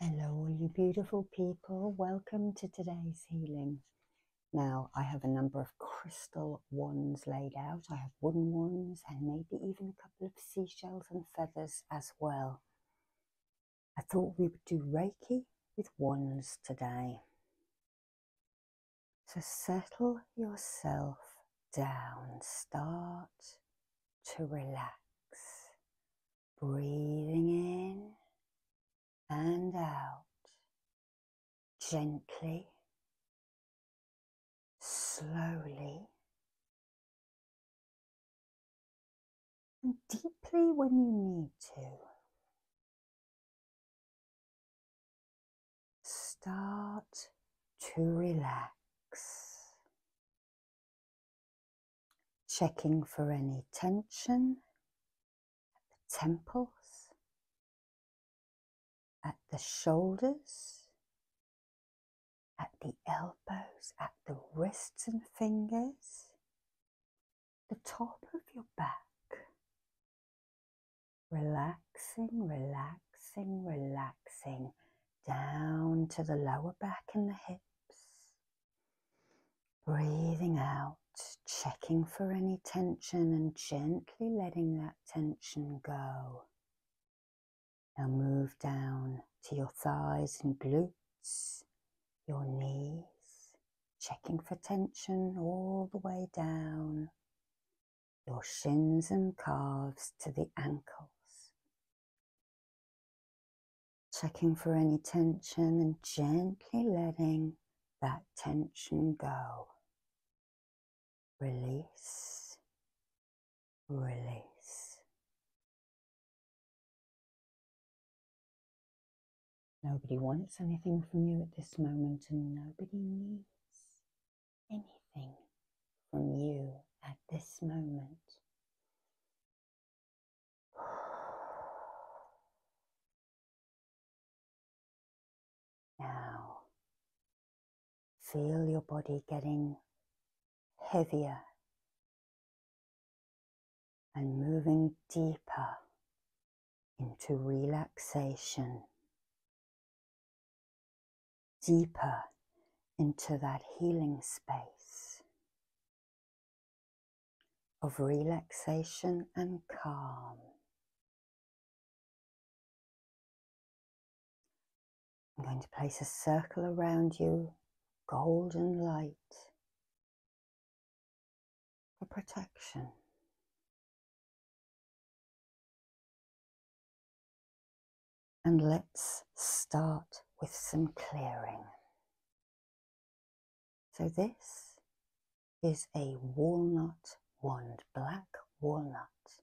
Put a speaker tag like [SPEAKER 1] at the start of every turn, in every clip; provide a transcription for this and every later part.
[SPEAKER 1] Hello, all you beautiful people. Welcome to today's healing. Now, I have a number of crystal wands laid out. I have wooden wands, and maybe even a couple of seashells and feathers as well. I thought we would do Reiki with wands today. So settle yourself down. Start to relax breathing in and out gently,
[SPEAKER 2] slowly, and deeply when you need to. Start to relax. Checking for any
[SPEAKER 1] tension at the temples, at the shoulders, at the elbows, at the wrists and fingers, the top of your back. Relaxing, relaxing, relaxing down to the lower back and the hips. Breathing out, checking for any tension and gently letting that tension go. Now move down to your thighs and glutes, your knees, checking for tension all the way down, your shins and calves to the ankles, Checking for any tension and gently letting that tension go. Release,
[SPEAKER 2] release.
[SPEAKER 1] Nobody wants anything from you at this moment, and nobody needs anything from you at this moment.
[SPEAKER 2] Now, feel your
[SPEAKER 1] body getting heavier and moving deeper into relaxation, deeper into that
[SPEAKER 2] healing space of relaxation and calm.
[SPEAKER 1] I'm going to place a circle around you, golden light for protection. And let's start with some clearing. So this is a walnut wand, black
[SPEAKER 2] walnut.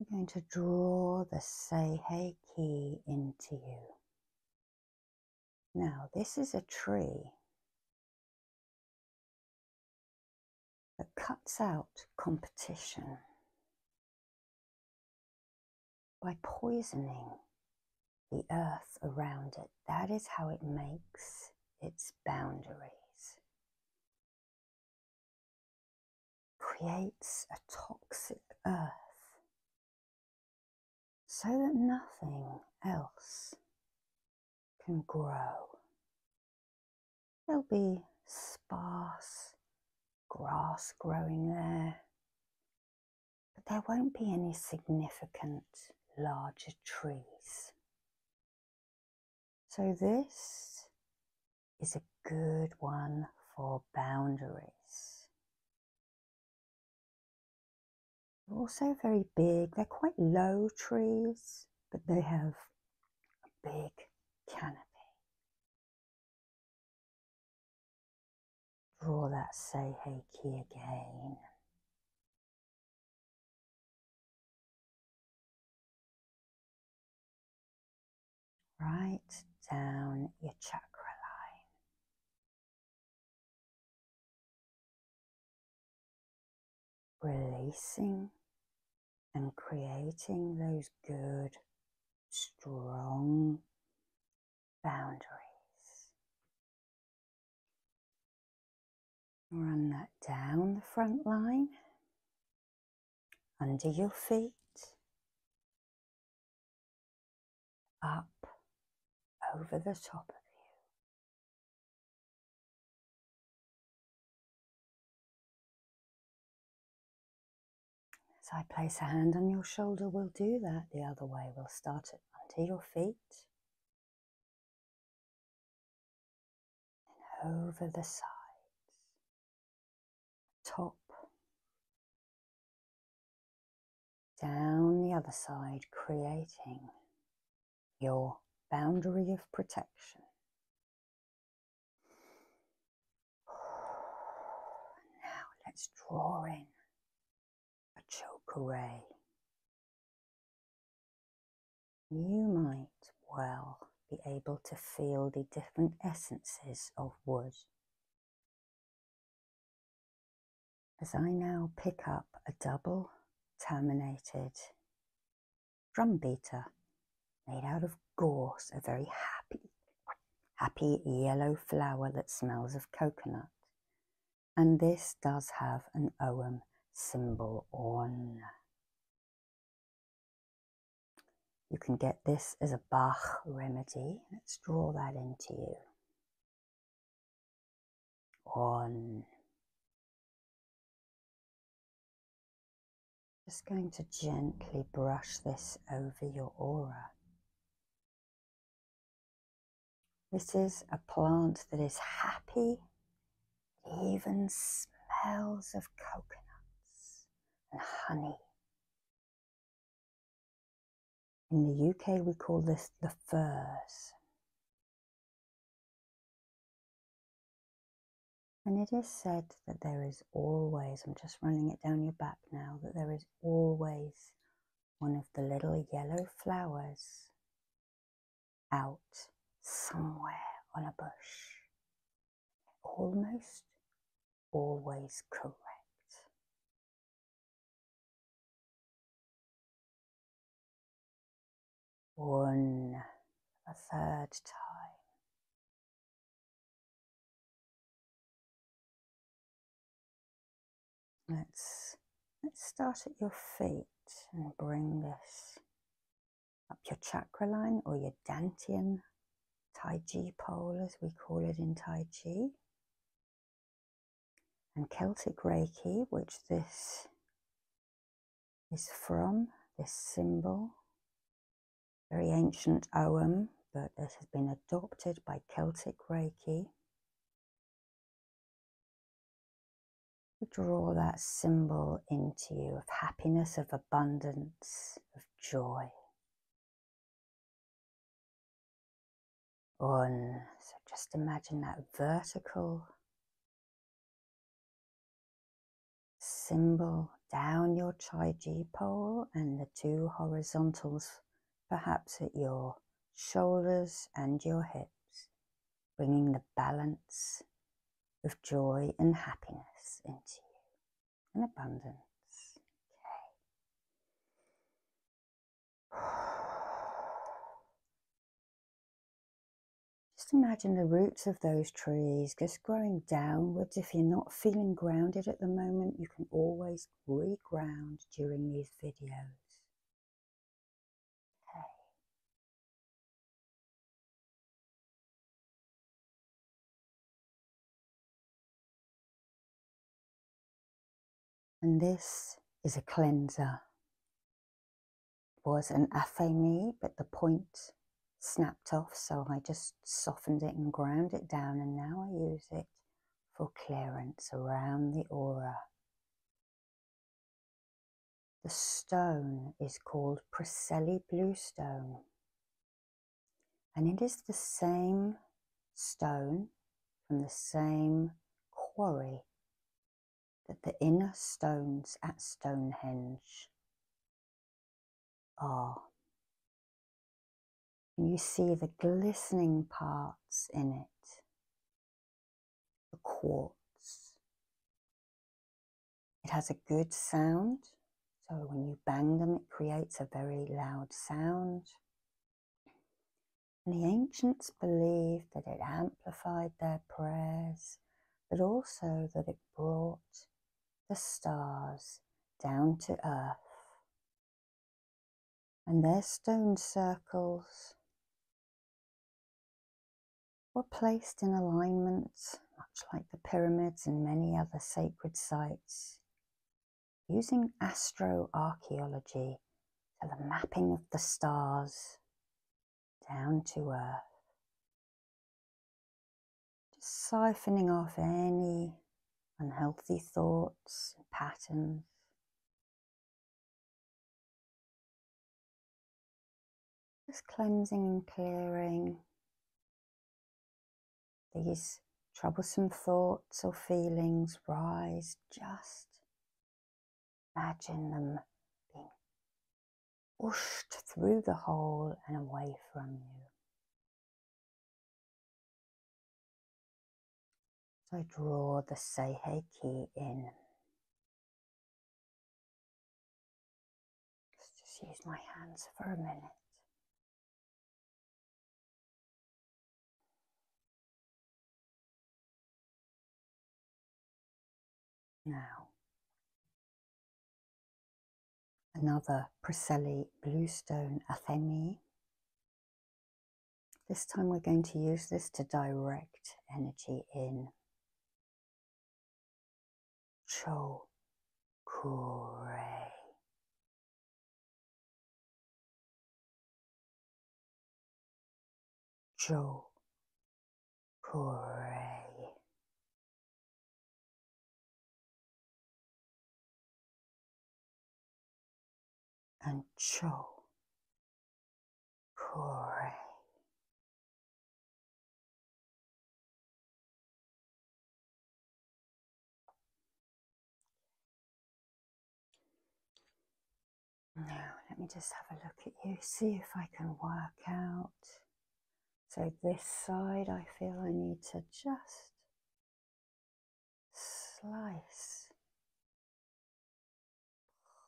[SPEAKER 2] I'm going to draw the say hey key into you. Now, this is a tree
[SPEAKER 1] that cuts out competition by poisoning the earth around it. That is how it makes its boundaries.
[SPEAKER 2] Creates a toxic earth
[SPEAKER 1] so that nothing else can grow There'll be sparse grass growing there, but there won't be any significant larger trees. So, this is a good one for boundaries. They're also very big, they're quite low trees, but they have a big canopy
[SPEAKER 2] Draw that Seihei key again. Right down your chakra
[SPEAKER 1] line. Releasing and creating those good, strong boundaries. Run that down the front line, under your feet, up over the top of you. As I place a hand on your shoulder, we'll do that the other way. We'll start it under your feet
[SPEAKER 2] and over the sides,
[SPEAKER 1] top, down the other side, creating your boundary of protection now let's draw in a chokeray. You might well be able to feel the different essences of wood. As I now pick up a double terminated drum beater made out of gorse, a very happy, happy yellow flower that smells of coconut. And this does have an OM symbol on. You can get this as a Bach remedy. Let's draw that into you.
[SPEAKER 2] On. Just going to gently brush
[SPEAKER 1] this over your aura. This is a plant that is happy, it even smells of coconuts and honey.
[SPEAKER 2] In the UK, we call this the firs.
[SPEAKER 1] And it is said that there is always, I'm just running it down your back now, that there is always one of the little yellow flowers out somewhere on a bush. Almost always correct.
[SPEAKER 2] One, a third time.
[SPEAKER 1] Let's, let's start at your feet and bring this up your chakra line or your dantian taiji pole, as we call it in Tai Chi. And Celtic Reiki, which this is from, this symbol very ancient Oum, but it has been adopted by Celtic Reiki. Draw that symbol into you of happiness, of abundance, of joy. One. so just imagine that vertical Symbol down your Chi G pole and the two horizontals, perhaps at your shoulders and your hips, bringing the balance of joy and happiness into you and abundance. Okay. Just imagine the roots of those trees just growing downwards, if you're not feeling grounded at the moment, you can always re-ground during these videos. And this is a cleanser. was an affamy, but the point snapped off, so I just softened it and ground it down, and now I use it for clearance around the aura. The stone is called Preseli Bluestone, and it is the same stone from the same quarry that the inner stones at Stonehenge are. Oh. And you see the glistening parts in it, the quartz. It has a good sound, so when you bang them, it creates a very loud sound. And the ancients believed that it amplified their prayers, but also that it brought the stars down to earth and their stone circles were placed in alignment, much like the pyramids and many other sacred sites, using astroarchaeology for the mapping of the stars down to earth. Just siphoning off any unhealthy thoughts,
[SPEAKER 2] and patterns.
[SPEAKER 1] Just cleansing and clearing these troublesome thoughts or feelings rise, just imagine them being pushed through the hole and away from you. So I draw the Seihei key in.
[SPEAKER 2] just use my hands for a minute. Now,
[SPEAKER 1] Another Priscelli Bluestone Athene. This time we're going to use this to direct energy in.
[SPEAKER 2] Cho Kure. Cho Kure and Cho Corey.
[SPEAKER 1] Now, let me just have a look at you, see if I can work out so this side, I feel I need to just slice,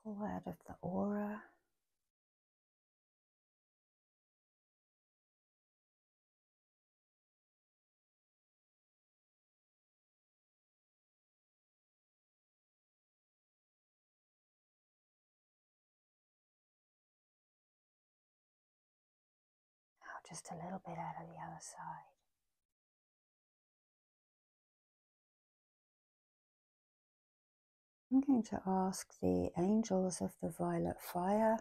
[SPEAKER 2] pull out of the aura. Now oh, just a little bit out of the other side.
[SPEAKER 1] I'm going to ask the angels of the violet fire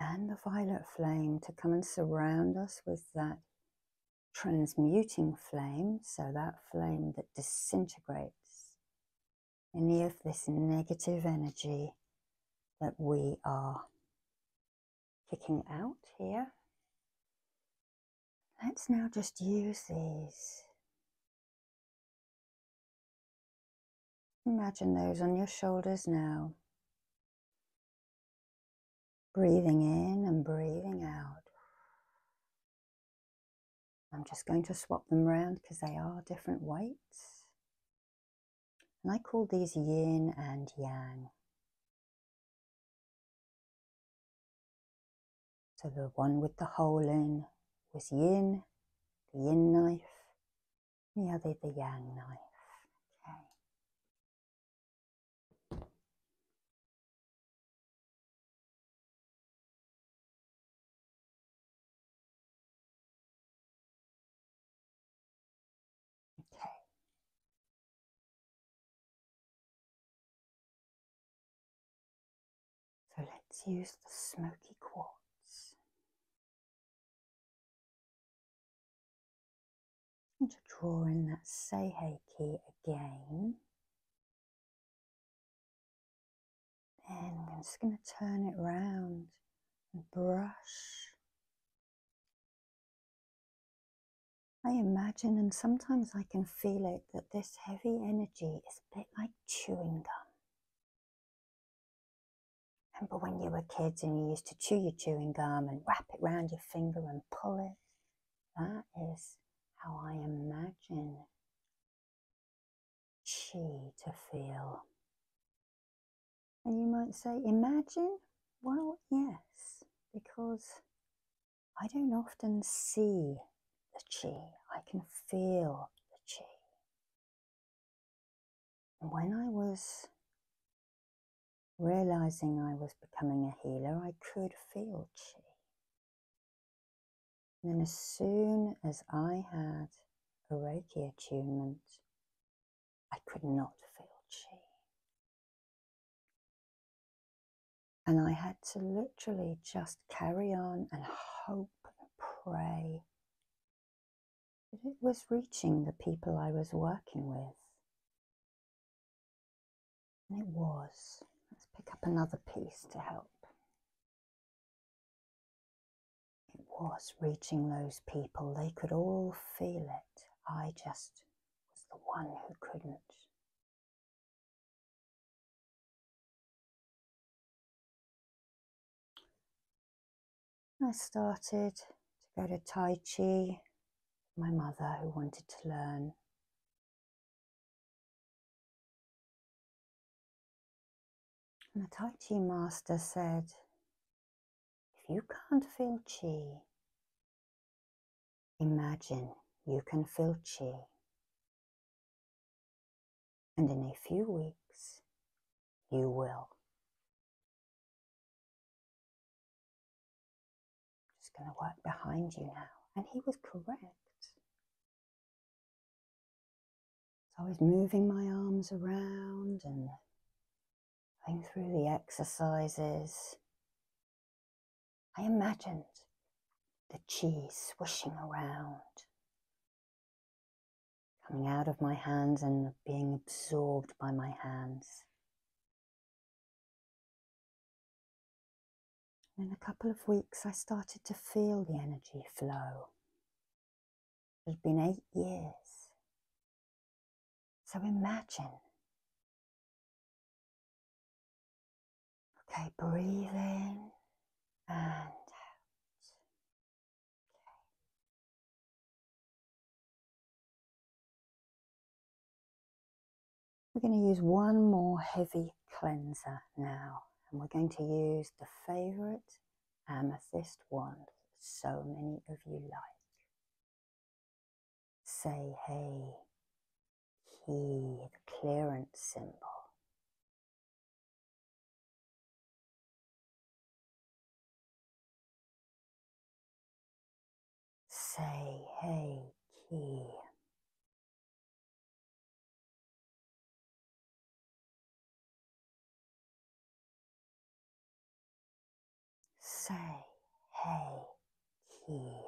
[SPEAKER 1] and the violet flame to come and surround us with that transmuting flame, so that flame that disintegrates any of this negative energy that we are kicking out here. Let's now just use
[SPEAKER 2] these. Imagine those
[SPEAKER 1] on your shoulders now. Breathing in and breathing out. I'm just going to swap them around because they are different weights. And I call these yin and yang. So the one with the hole in was yin, the yin knife, the other the yang knife. Okay.
[SPEAKER 2] Okay. So let's use the smoky quartz.
[SPEAKER 1] And to draw in that Seihei key again. and I'm just going to turn it round brush. I imagine, and sometimes I can feel it, that this heavy energy is a bit like chewing gum. Remember when you were kids and you used to chew your chewing gum and wrap it round your finger and pull it? That is how I imagine chi to feel and you might say, imagine? Well, yes, because I don't often see the chi, I can feel the chi. And when I was realizing I was becoming a healer, I could feel chi. And then, as soon as I had a Reiki attunement, I could not feel cheap, And I had to literally just carry on and hope and pray that it was reaching the people I was working with. And it was. Let's pick up another piece to help. It was reaching those people. They could all feel it. I just was the one who couldn't. I started to go to Tai Chi, my mother who wanted to learn. And the Tai Chi master said, if you can't feel Chi, imagine you can
[SPEAKER 2] feel Chi. And in a few weeks, you will.
[SPEAKER 1] Just going to work behind you now. And he was correct. So I was moving my arms around and going through the exercises. I imagined the chi swishing around, coming out of my hands and being absorbed by my hands.
[SPEAKER 2] In a couple of
[SPEAKER 1] weeks, I started to feel the energy flow it's been eight years. So imagine.
[SPEAKER 2] Okay, breathe in and out.
[SPEAKER 1] We're going to use one more heavy cleanser now, and we're going to use the favorite um, amethyst wand so many of you like. Say, hey, key, the clearance symbol.
[SPEAKER 2] Say, hey, key. Say hey here.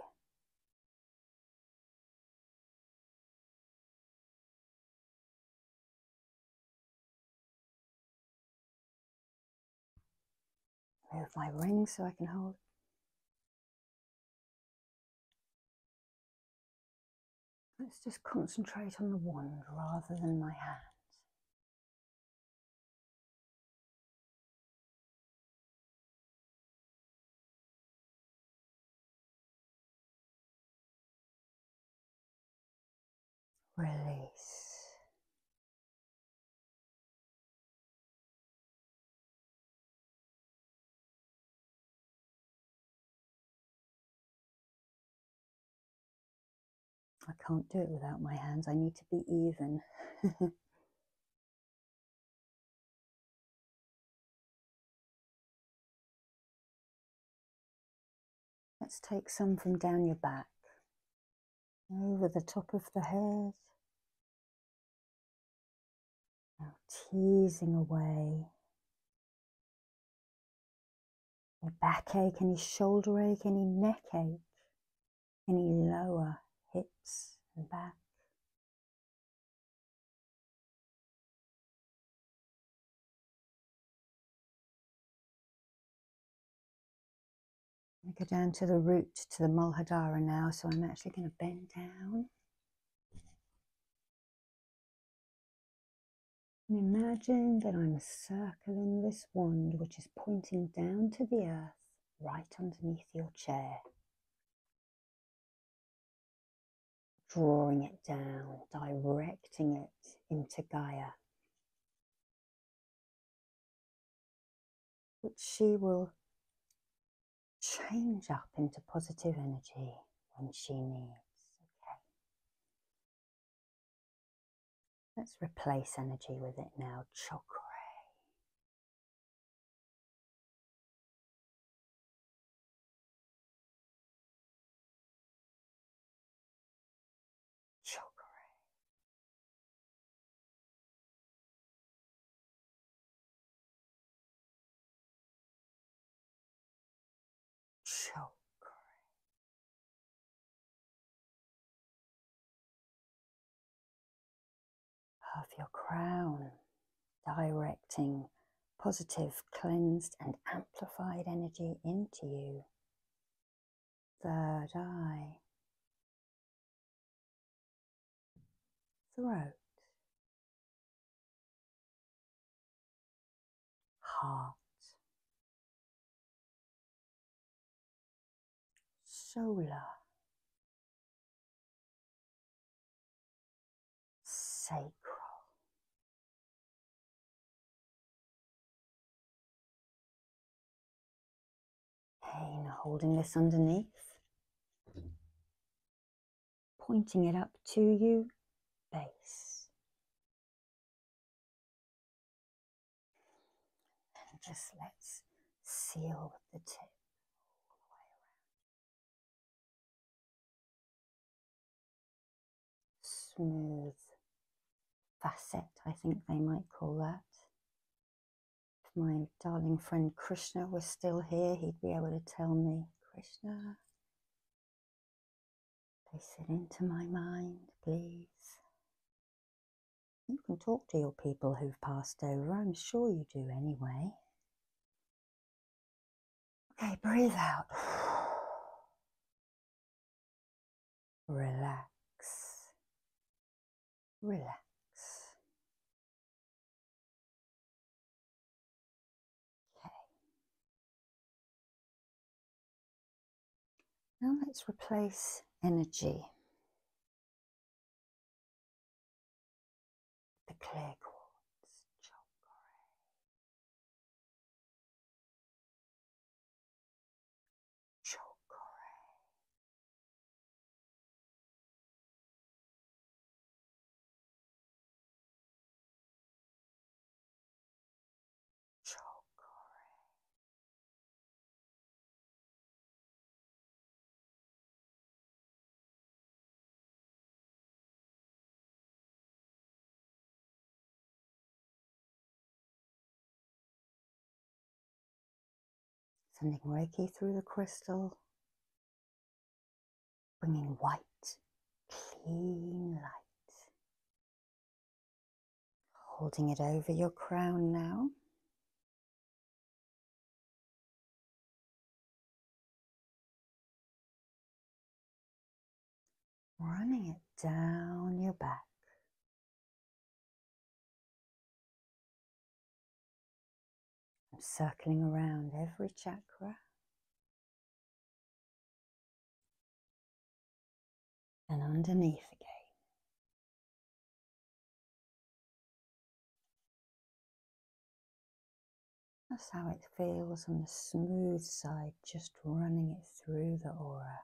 [SPEAKER 2] Move my ring so I can hold. Let's just concentrate on the wand rather than my hands. Release. I can't do it without my hands. I need to be even.
[SPEAKER 1] Let's take some from down your back, over the top of the head. Now teasing away any back ache? any shoulder ache, any neck ache, any lower hips and back. I go down to the root, to the muladhara now, so I'm actually going to bend down imagine that I'm circling this wand, which is pointing down to the earth right underneath your chair. Drawing it down, directing it into Gaia, which she will change up into positive energy when she needs. Okay. Let's replace energy with it now. Chakra.
[SPEAKER 2] Chakra
[SPEAKER 1] Of your crown, directing positive, cleansed, and amplified energy into you. Third eye,
[SPEAKER 2] throat, heart. Solar. Sacral. Okay, holding this underneath. Pointing it up to you, base. And just let's seal with the tip
[SPEAKER 1] Smooth facet, I think they might call that. If my darling friend Krishna was still here, he'd be able to tell me, Krishna, Place it into my mind, please. You can talk to your people who've passed over, I'm sure you do anyway. Okay, breathe out. Relax.
[SPEAKER 2] Relax. Now let's replace energy. The clear quartz chakra. Chakra. Chocolate. Sending Reiki through the crystal,
[SPEAKER 1] bringing white, clean light Holding it over your crown
[SPEAKER 2] now. Running it down your back. i circling around every chakra and underneath again.
[SPEAKER 1] That's how it feels on the smooth side, just running it through the aura.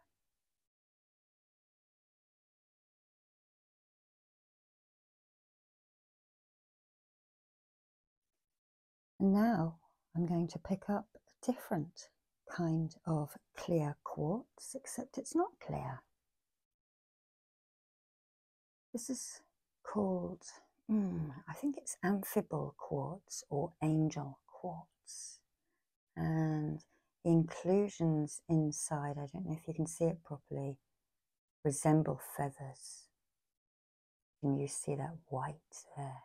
[SPEAKER 1] And now I'm going to pick up a different kind of clear quartz, except it's not clear. This is called, hmm, I think it's amphibole quartz or angel quartz. And inclusions inside, I don't know if you can see it properly, resemble feathers. Can you see that white there?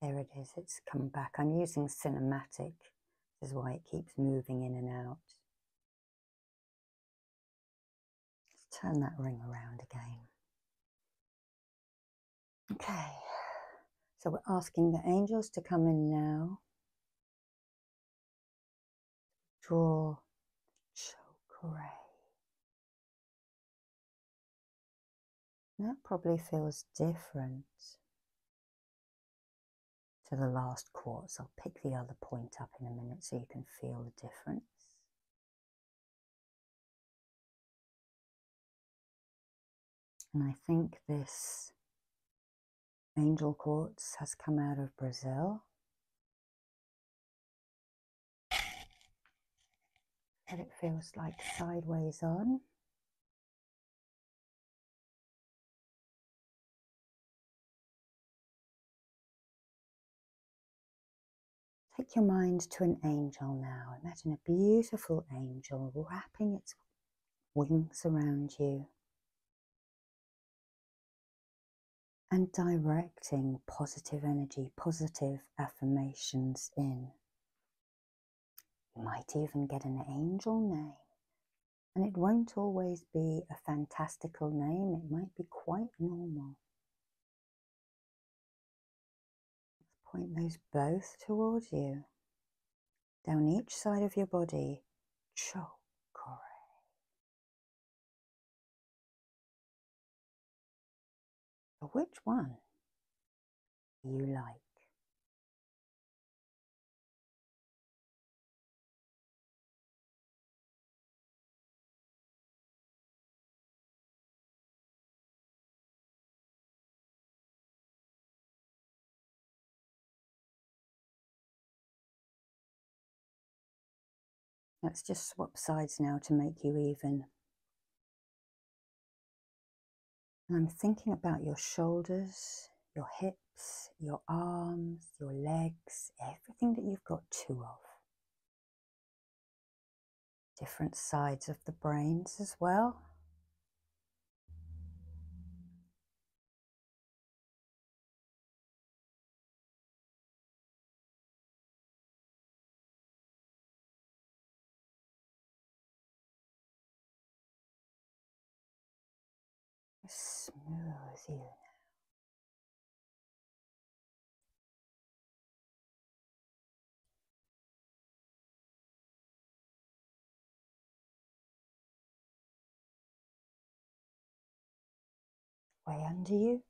[SPEAKER 1] There it is, it's come back. I'm using cinematic, this is why it keeps moving in and out. turn that
[SPEAKER 2] ring around again. Okay, so
[SPEAKER 1] we're asking the angels to come in now. Draw the chakra that probably feels different to the last quartz. I'll pick the other point up in a minute so you can feel the
[SPEAKER 2] difference. And I think this angel quartz has
[SPEAKER 1] come out of Brazil and it feels like sideways on. Take your mind to an angel now. Imagine a beautiful angel wrapping its wings around you and directing positive energy, positive affirmations in. You might even get an angel name. And it won't always be a fantastical name, it might be quite normal. Point those both towards you, down each side of your body. Chokore.
[SPEAKER 2] But which one do you like?
[SPEAKER 1] Let's just swap sides now to make you even. I'm thinking about your shoulders, your hips, your arms, your legs, everything that you've got two of. Different sides of the brains as well.
[SPEAKER 2] Smooth you now. Way under you,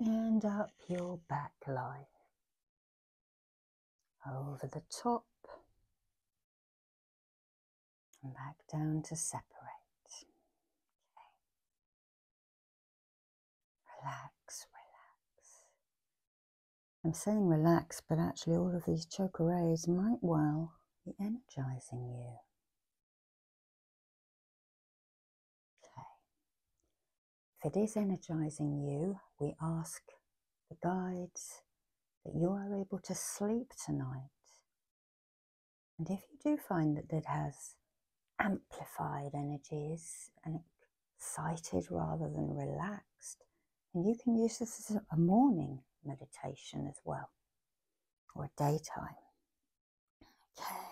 [SPEAKER 2] and
[SPEAKER 1] up your back line, over the top, and back down to separate. Okay. Relax, relax. I'm saying relax, but actually, all of these choke arrays might well be energizing you. Okay. If it is energizing you, we ask the guides that you are able to sleep tonight. And if you do find that it has amplified energies and excited rather than relaxed, and you can use this as a morning meditation as well, or daytime. Okay.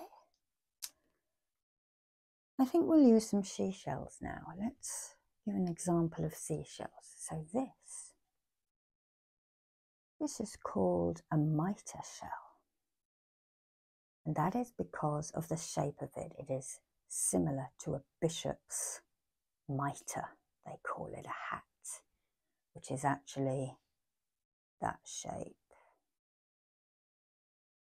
[SPEAKER 1] I think we'll use some seashells now. Let's give an example of seashells. So this, this is called a mitre shell. And that is because of the shape of it. It is similar to a bishop's mitre. They call it a hat, which is actually that shape.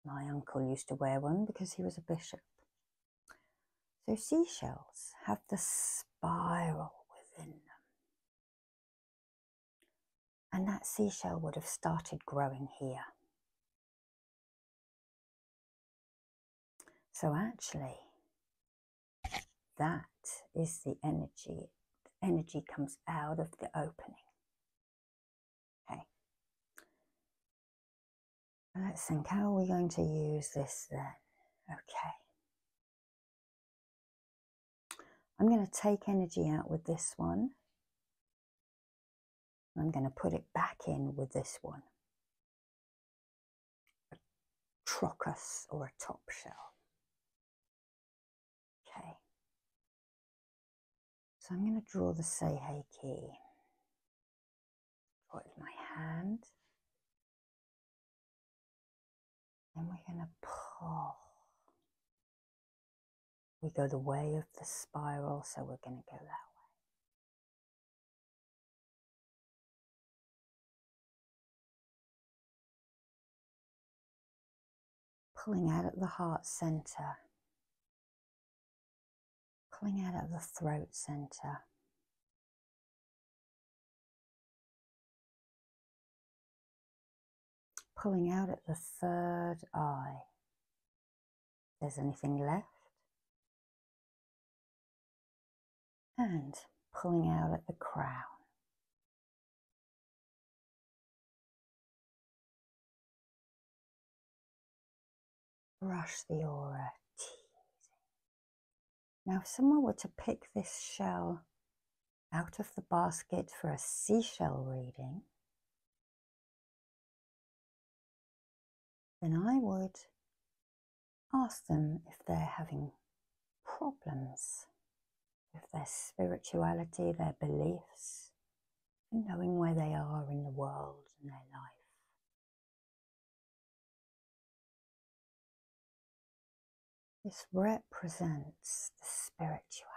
[SPEAKER 1] My uncle used to wear one because he was a bishop. So seashells have the spiral within them. And that seashell would have started growing here. So actually, that is the energy. The energy comes out of the opening Okay. Let's think, how are we going to use this then? Okay. I'm going to take energy out with this one. I'm going to put it back in with this one. trochus or a top
[SPEAKER 2] shell. Okay, so I'm going to draw the Seihei key. Draw it with my hand.
[SPEAKER 1] And we're going to pull. We go the way of the spiral, so we're going to go that way.
[SPEAKER 2] pulling out at the heart center Pulling out at the throat center. Pulling out at the third eye. there's anything left. And pulling out at the crown. Brush the
[SPEAKER 1] aura, Now, if someone were to pick this shell out of the basket for a seashell reading,
[SPEAKER 2] then I would
[SPEAKER 1] ask them if they're having problems with their spirituality, their beliefs, knowing where they are in the world and their life.
[SPEAKER 2] This represents the spirituality.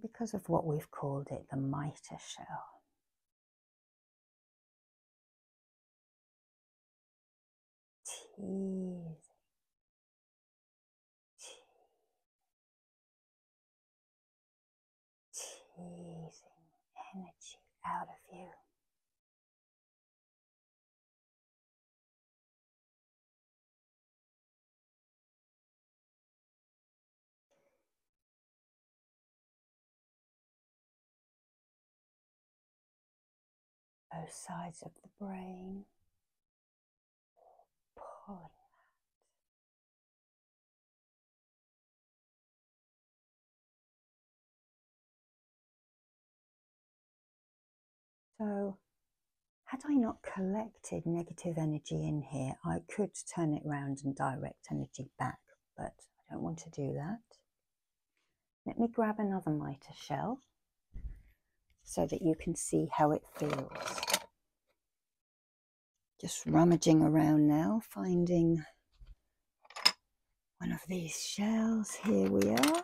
[SPEAKER 2] Because of what we've called it the mitre shell, Teasing. Teasing energy out of you. Both sides of the brain, pulling that.
[SPEAKER 1] So, had I not collected negative energy in here, I could turn it round and direct energy back, but I don't want to do that. Let me grab another mitre shell so that you can see how it feels. Just rummaging around now, finding one of these shells. Here we are.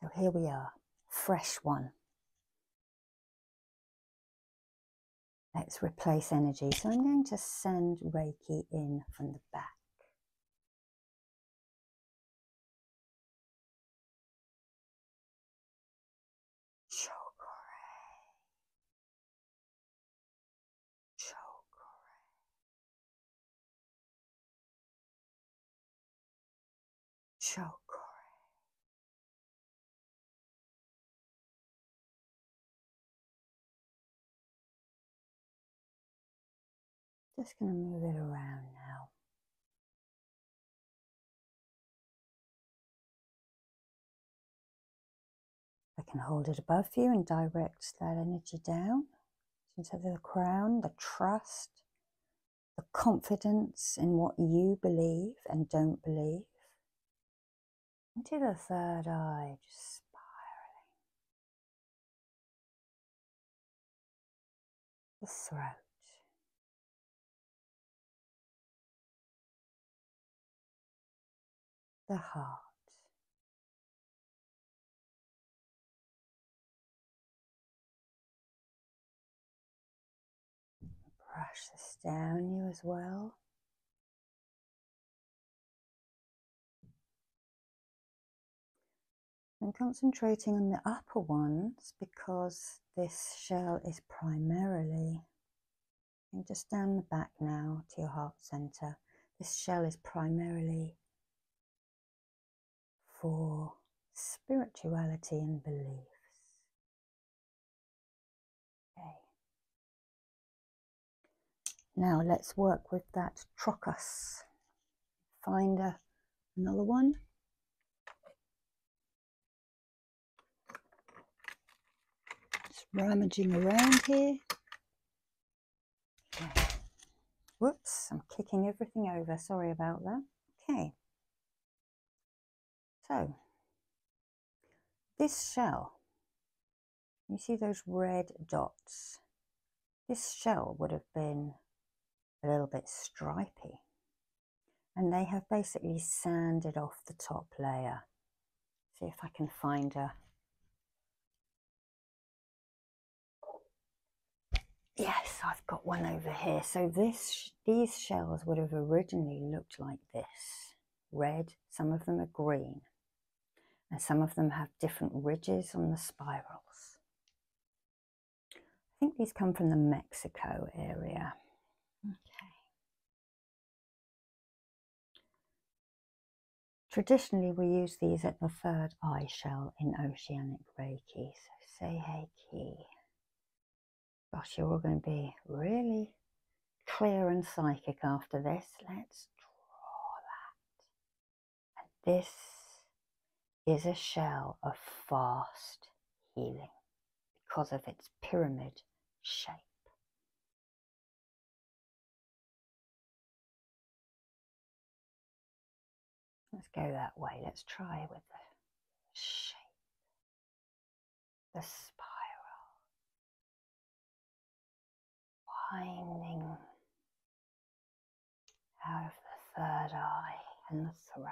[SPEAKER 1] So here we are, fresh one. Let's replace energy. So I'm going to send Reiki in from the back.
[SPEAKER 2] Chokore. Just going to move it around now.
[SPEAKER 1] I can hold it above you and direct that energy down into the crown, the trust, the confidence in what you believe and don't believe, into the third eye, just spiraling.
[SPEAKER 2] The throat. The heart. Brush this down you as well.
[SPEAKER 1] I'm concentrating on the upper ones because this shell is primarily, and just down the back now to your heart center, this shell is primarily for spirituality
[SPEAKER 2] and beliefs.
[SPEAKER 1] Okay. Now let's work with that trochus. Find another one. Just rummaging around here. Whoops, I'm kicking everything over. Sorry about that. Okay. So this shell, you see those red dots? This shell would have been a little bit stripy. And they have basically sanded off the top layer. See if I can find a. Yes, I've got one over here. So this, these shells would have originally looked like this. Red, some of them are green, and some of them have different ridges on the spirals. I think these come from the Mexico area. Okay. Traditionally, we use these at the third eye shell in oceanic Reiki. So say Heiki. But you're all going to be really clear and psychic after this. Let's draw that. And this is a shell of fast healing because of its pyramid shape.
[SPEAKER 2] Let's go that way. Let's try with the shape, the spiral, winding out of the third eye and the throat.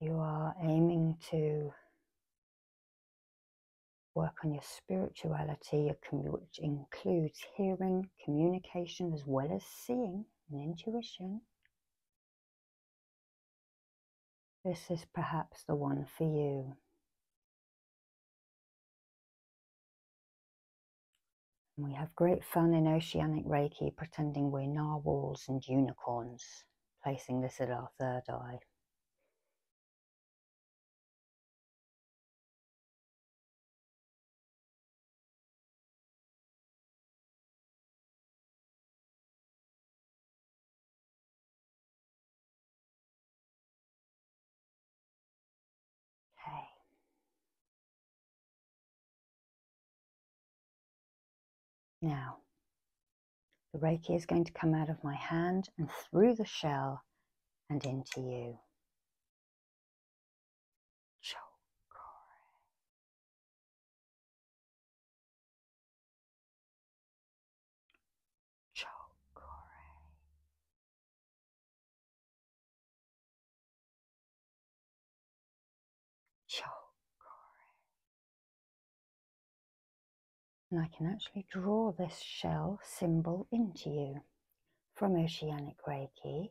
[SPEAKER 2] You are
[SPEAKER 1] aiming to work on your spirituality, which includes hearing, communication, as well as seeing and intuition. This is perhaps the one for you. we have great fun in oceanic Reiki pretending we're narwhals and unicorns, placing this at our third eye. Okay. Now, the Reiki is going to come out of my hand and through the shell and into you. Chokore.
[SPEAKER 2] Chokore. Chokore.
[SPEAKER 1] And I can actually draw this shell symbol into you from Oceanic Reiki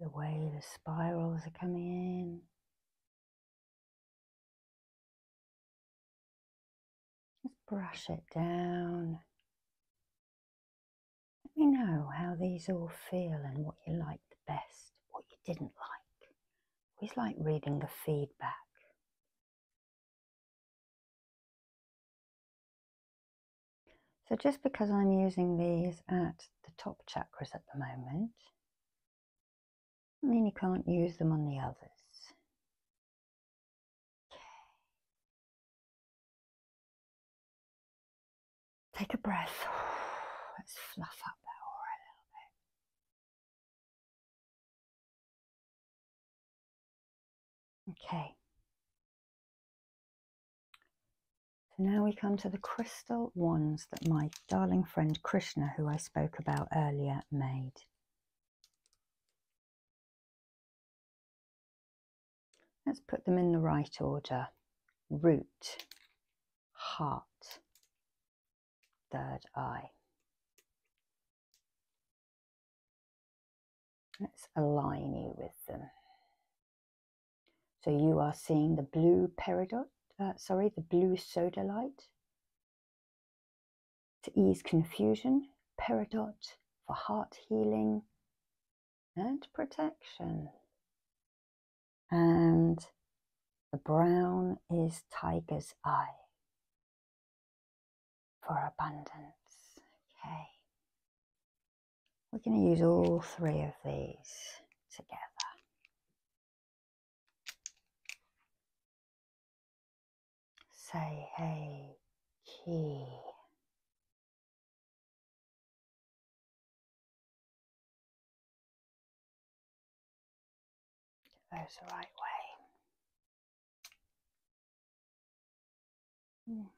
[SPEAKER 2] the way the spirals are coming in.
[SPEAKER 1] Just brush it down. Let me know how these all feel and what you liked the best, what you didn't like. Always like reading the feedback.
[SPEAKER 2] So just because I'm
[SPEAKER 1] using these at the top chakras at the moment, I mean you can't use them on the others.
[SPEAKER 2] Okay. Take a breath. Let's fluff up that aura a little bit. Okay.
[SPEAKER 1] So now we come to the crystal wands that my darling friend Krishna, who I spoke about earlier, made. Let's put them in the right order. Root, heart, third eye. Let's align you with them. So you are seeing the blue peridot, uh, sorry, the blue soda light. To ease confusion, peridot for heart healing, and protection. And the brown is tiger's eye for abundance. Okay. We're going to use all three of these together.
[SPEAKER 2] Say, hey, key those the right way.
[SPEAKER 1] Hmm.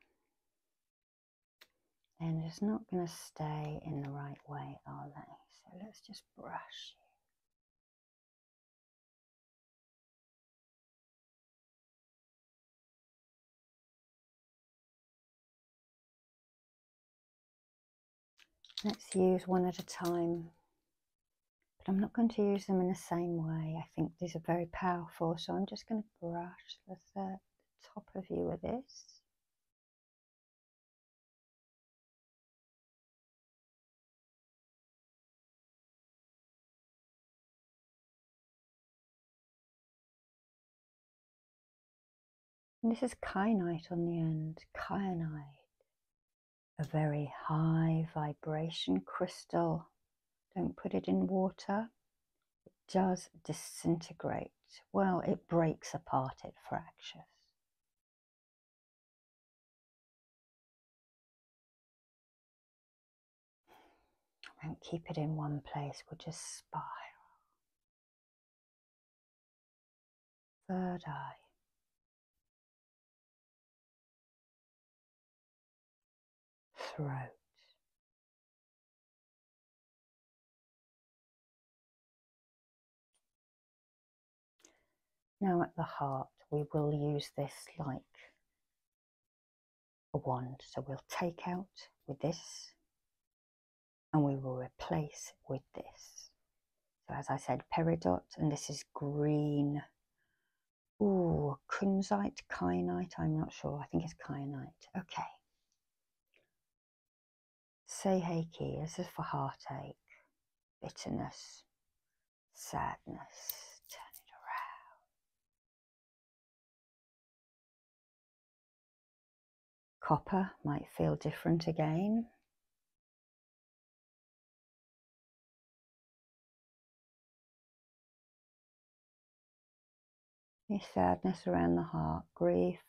[SPEAKER 1] And it's not going to stay in the right way, are they? So let's just brush Let's use one at a time. But I'm not going to use them in the same way. I think these are very powerful, so I'm just going to brush the, top of you with this this is kyanite on the end, kyanite, a very high vibration crystal. Don't put it in water. It does disintegrate. Well, it breaks apart, it fractures.
[SPEAKER 2] I not keep it in one place, we'll just spiral. Third eye. Throat.
[SPEAKER 1] Now at the heart, we will use this like a wand. So we'll take out with this and we will replace with this. So as I said, peridot, and this is green. Oh, kunzite, kyanite, I'm not sure. I think it's kyanite. Okay. Say Seiheki, this is for heartache, bitterness, sadness. Turn it around.
[SPEAKER 2] Copper might feel different again.
[SPEAKER 1] Any sadness around the heart, grief,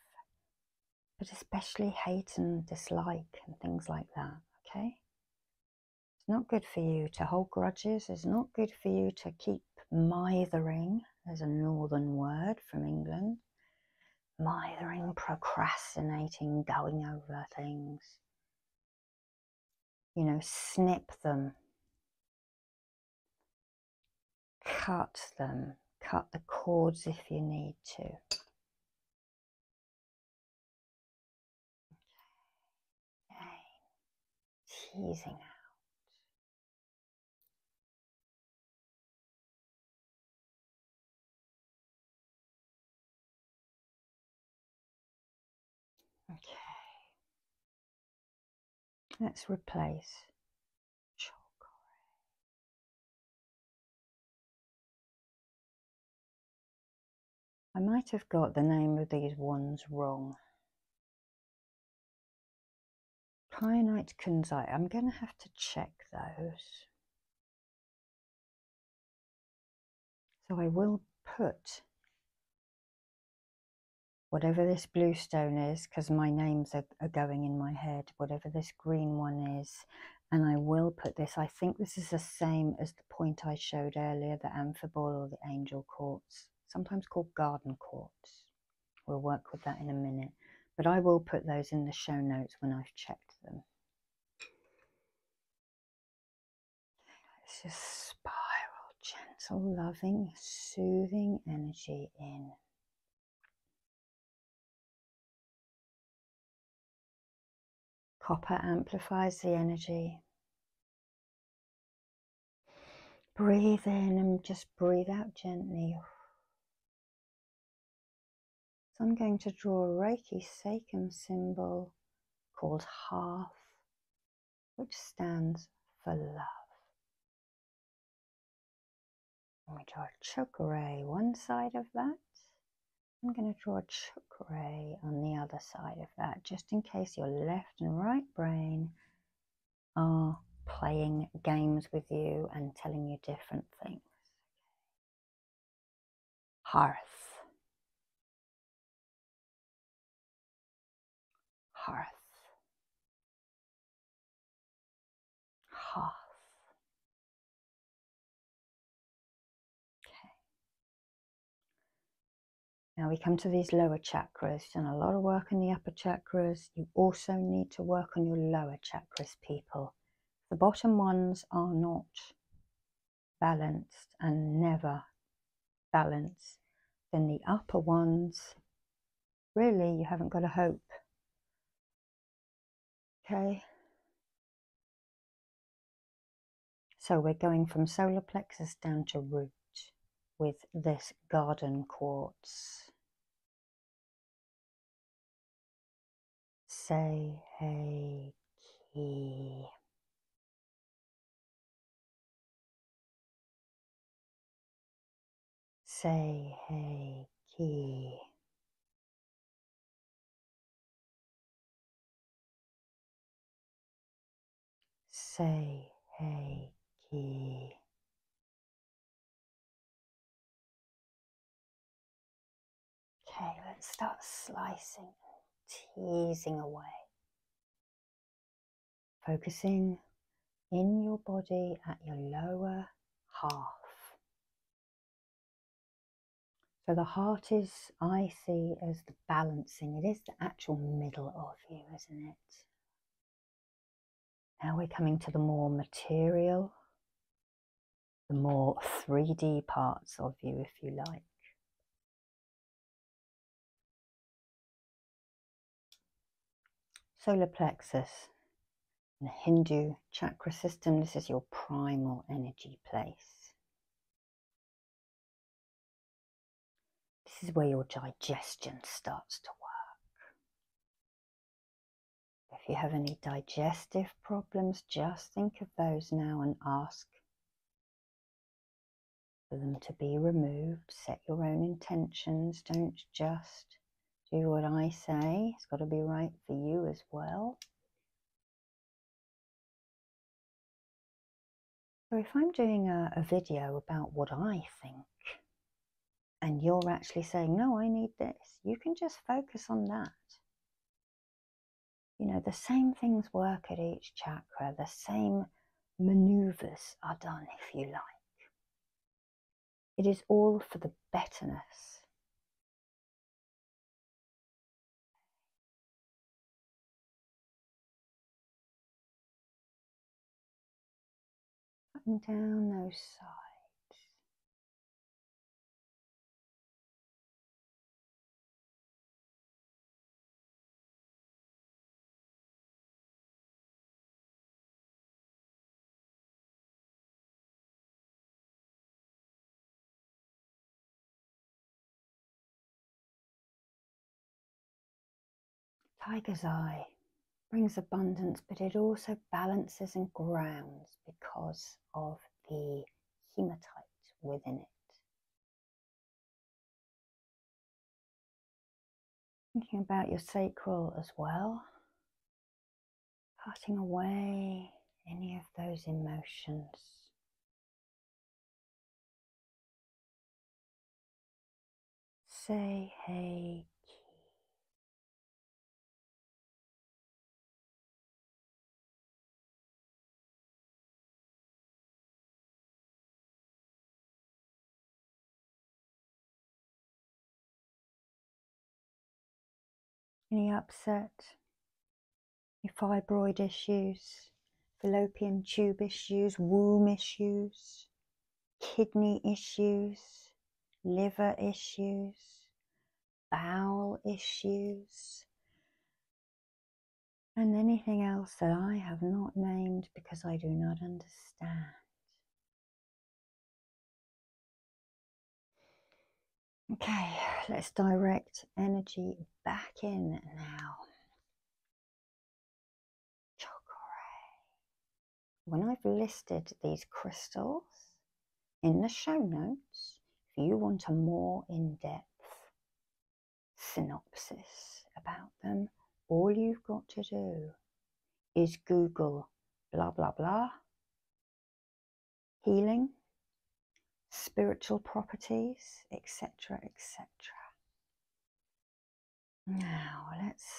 [SPEAKER 1] but especially hate and dislike and things like that, okay? It's not good for you to hold grudges. It's not good for you to keep mithering, there's a northern word from England, mithering, procrastinating, going over things. You know, snip them, cut them, cut the cords if you need to.
[SPEAKER 2] Again, teasing out. Okay. Let's replace
[SPEAKER 1] I might have got the name of these ones wrong. Kyanite kunzite. I'm going to have to
[SPEAKER 2] check those. So
[SPEAKER 1] I will put whatever this blue stone is, because my names are, going in my head, whatever this green one is, and I will put this. I think this is the same as the point I showed earlier, the amphibole or the angel quartz sometimes called garden courts, We'll work with that in a minute, but I will put those in the show notes when I've checked them. Let's just spiral gentle, loving,
[SPEAKER 2] soothing energy in.
[SPEAKER 1] Copper amplifies the energy, Breathe in and just breathe out gently. So I'm going to draw a Reiki Sacrum symbol called half, which stands for love. And we draw a chakra one side of that. I'm going to draw a chakra on the other side of that, just in case your left and right brain are playing games with you and telling you different things.
[SPEAKER 2] Hearth. Hearth.
[SPEAKER 1] Hearth. Okay. Now we come to these lower chakras and a lot of work in the upper chakras. You also need to work on your lower chakras, people. The bottom ones are not balanced and never balanced. Then the upper ones, really, you haven't got a hope. Okay. So we're going from solar plexus down to root with this garden quartz. Say hey key.
[SPEAKER 2] Say hey key. Say hey key. Okay, let's start slicing
[SPEAKER 1] teasing away. Focusing in your body at your lower half. So the heart is, I see, as the balancing, it is the actual middle of you, isn't it? Now we're coming to the more material, the more 3D parts of you, if you like. Solar plexus, the Hindu chakra system, this is your primal energy place. This is where your digestion starts to work. If you have any digestive problems, just think of those now and ask for them to be removed. Set your own intentions. Don't just do what I say, it's got to be right for you as well. So if I'm doing a, video about what I think, and you're actually saying, no, I need this, you can just focus on that. You know, the same things work at each chakra, the same maneuvers are done, if you like. It is all
[SPEAKER 2] for the betterness and down those sides.
[SPEAKER 1] Tiger's Eye brings abundance, but it also balances and grounds because of the hematite within it. Thinking about your
[SPEAKER 2] sacral as well, cutting away any of those emotions Say hey. any
[SPEAKER 1] upset, any fibroid issues, fallopian tube issues, womb issues, kidney issues, liver issues, bowel issues, and anything else that I have not named because I do not understand. Okay, let's direct energy back in now. Chakra. When I've listed these crystals in the show notes, if you want a more in depth synopsis about them, all you've got to do is Google blah blah blah healing, spiritual properties, etc. etc. Now let's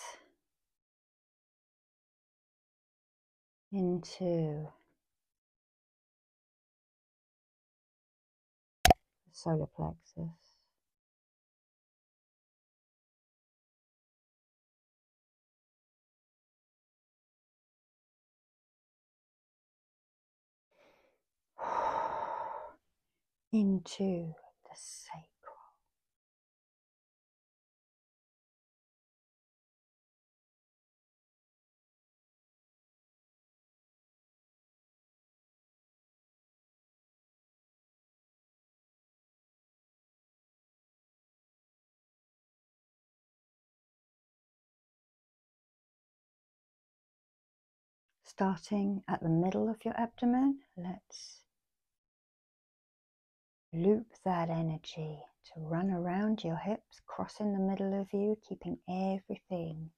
[SPEAKER 2] into the solar plexus. into the sacral. Starting at the middle of your
[SPEAKER 1] abdomen, let's loop that energy to run around your hips, crossing the middle of you, keeping everything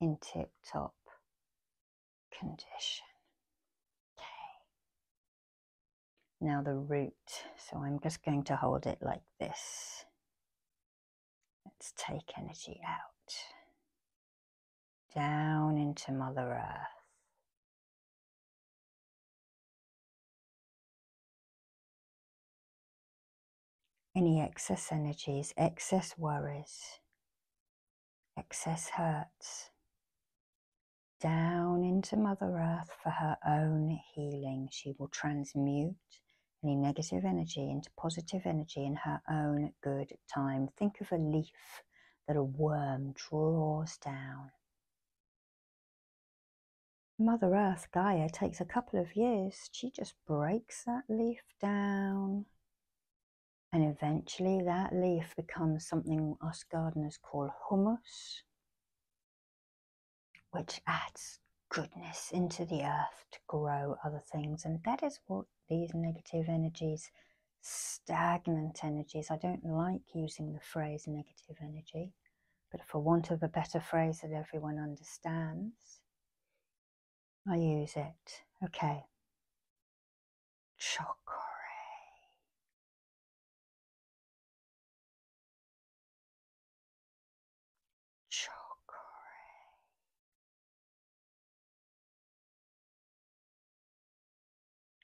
[SPEAKER 1] in tip top condition. Okay. Now the root. So I'm just going to hold it like this. Let's take energy out down into Mother Earth. Any excess energies, excess worries, excess hurts, down into Mother Earth for her own healing. She will transmute any negative energy into positive energy in her own good time. Think of a leaf that a worm draws down. Mother Earth Gaia takes a couple of years. She just breaks that leaf down. And eventually that leaf becomes something us gardeners call humus, which adds goodness into the earth to grow other things. And that is what these negative energies stagnant energies. I don't like using the phrase negative energy, but for want of a better phrase that everyone understands, I use it. Okay.
[SPEAKER 2] Chakra. Chakra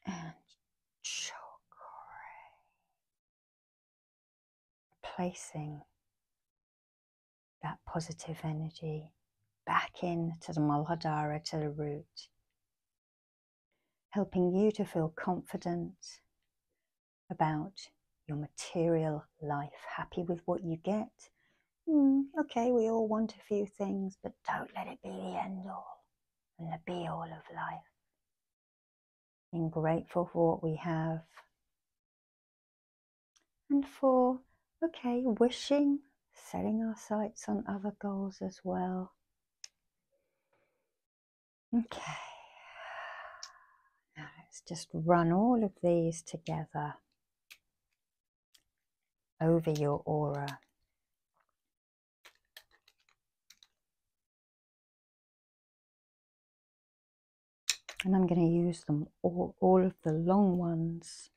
[SPEAKER 2] and chakra,
[SPEAKER 1] placing that positive energy back into the Muladhara, to the root, helping you to feel confident about your material life, happy with what you get, Mm, okay, we all want a few things, but don't let it be the end all and the be all of life. Being grateful for what we have. And for, okay, wishing, setting our sights on other goals as well. Okay, now let's just run all of these together over your aura. And I'm going to use them all, all of the long ones.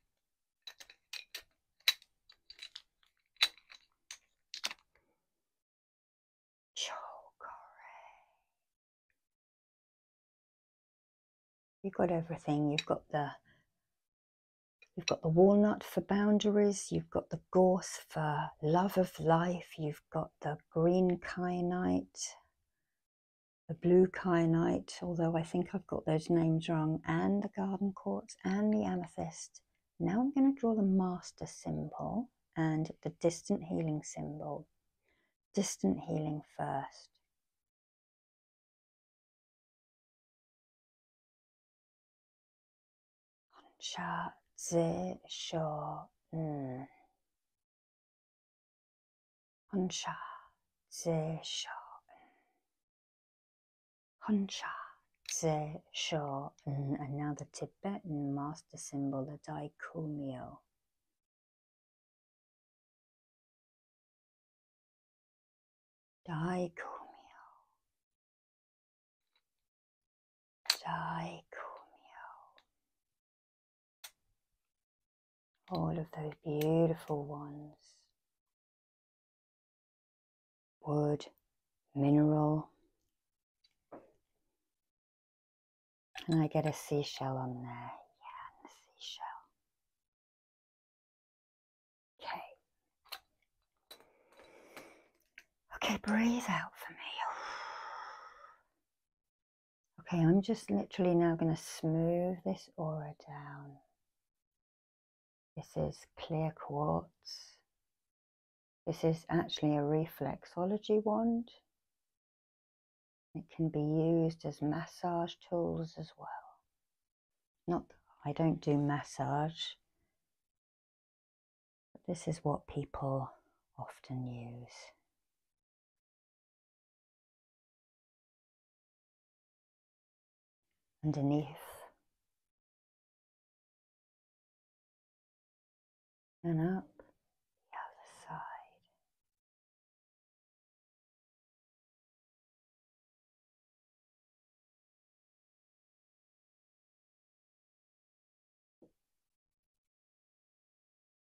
[SPEAKER 1] You've got everything. You've got the You've got the walnut for boundaries, you've got the gorse for love of life, you've got the green kyanite, the blue kyanite, although I think I've got those names wrong, and the garden quartz and the amethyst. Now I'm going to draw the master symbol and the distant healing symbol. Distant healing first. Cha Zi Sho N. Hunsha Zi Sho N. Hunsha Zi And now the Tibetan master symbol, the Dai Kumyo.
[SPEAKER 2] Daikumyo. Daikumyo.
[SPEAKER 1] All of those beautiful ones.
[SPEAKER 2] Wood, mineral. And I get a seashell on there. Yeah, and the seashell. Okay.
[SPEAKER 1] Okay, breathe out for me. Okay, I'm just literally now going to smooth this aura down. This is clear quartz. This is actually a reflexology wand. It can be used as massage tools as well. Not, I don't do massage. But this is what people often use.
[SPEAKER 2] Underneath, and up the other side.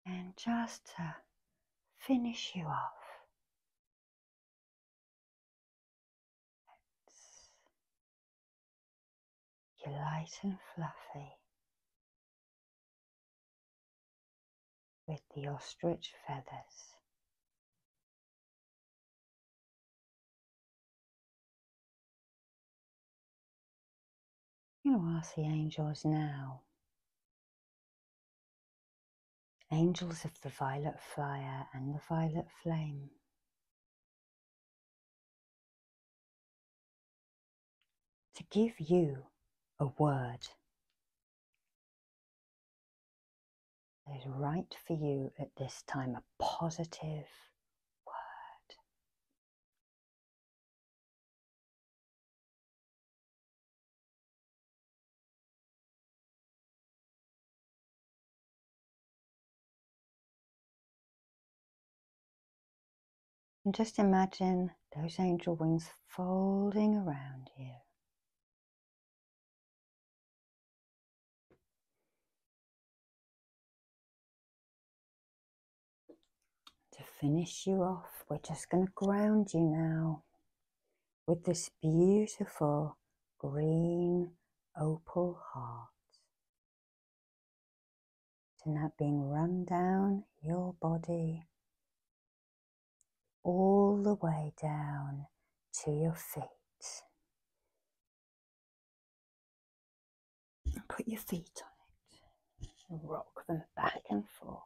[SPEAKER 2] And just to finish you off, you're light and fluffy with the ostrich feathers you know, I see angels now, angels of the violet fire and the violet flame. To give you a word
[SPEAKER 1] that is right for you at this time, a positive word.
[SPEAKER 2] And just imagine those angel wings folding around you.
[SPEAKER 1] To finish you off, we're just going to ground you now with this beautiful green opal heart. And that being run down your body all the way down to your feet.
[SPEAKER 2] Put your feet
[SPEAKER 1] on it and rock them back and forth.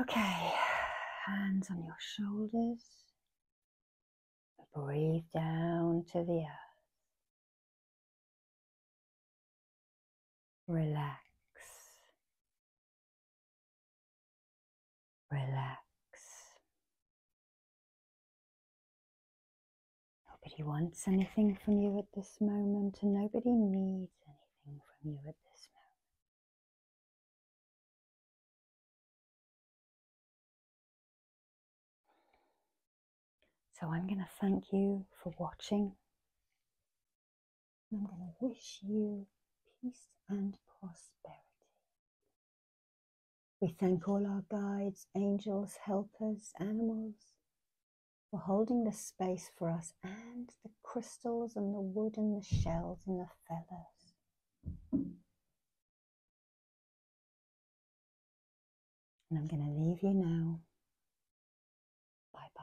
[SPEAKER 1] Okay, hands on your shoulders. Breathe down to the earth.
[SPEAKER 2] relax Relax.
[SPEAKER 1] Nobody wants anything from you at this moment, and nobody needs
[SPEAKER 2] anything from you at this moment. So I'm going to
[SPEAKER 1] thank you for watching. I'm going to wish you peace and prosperity. We thank all our guides, angels, helpers, animals for holding the space for us and the crystals and the wood and the shells and the feathers.
[SPEAKER 2] And I'm going to leave you now. Bye bye.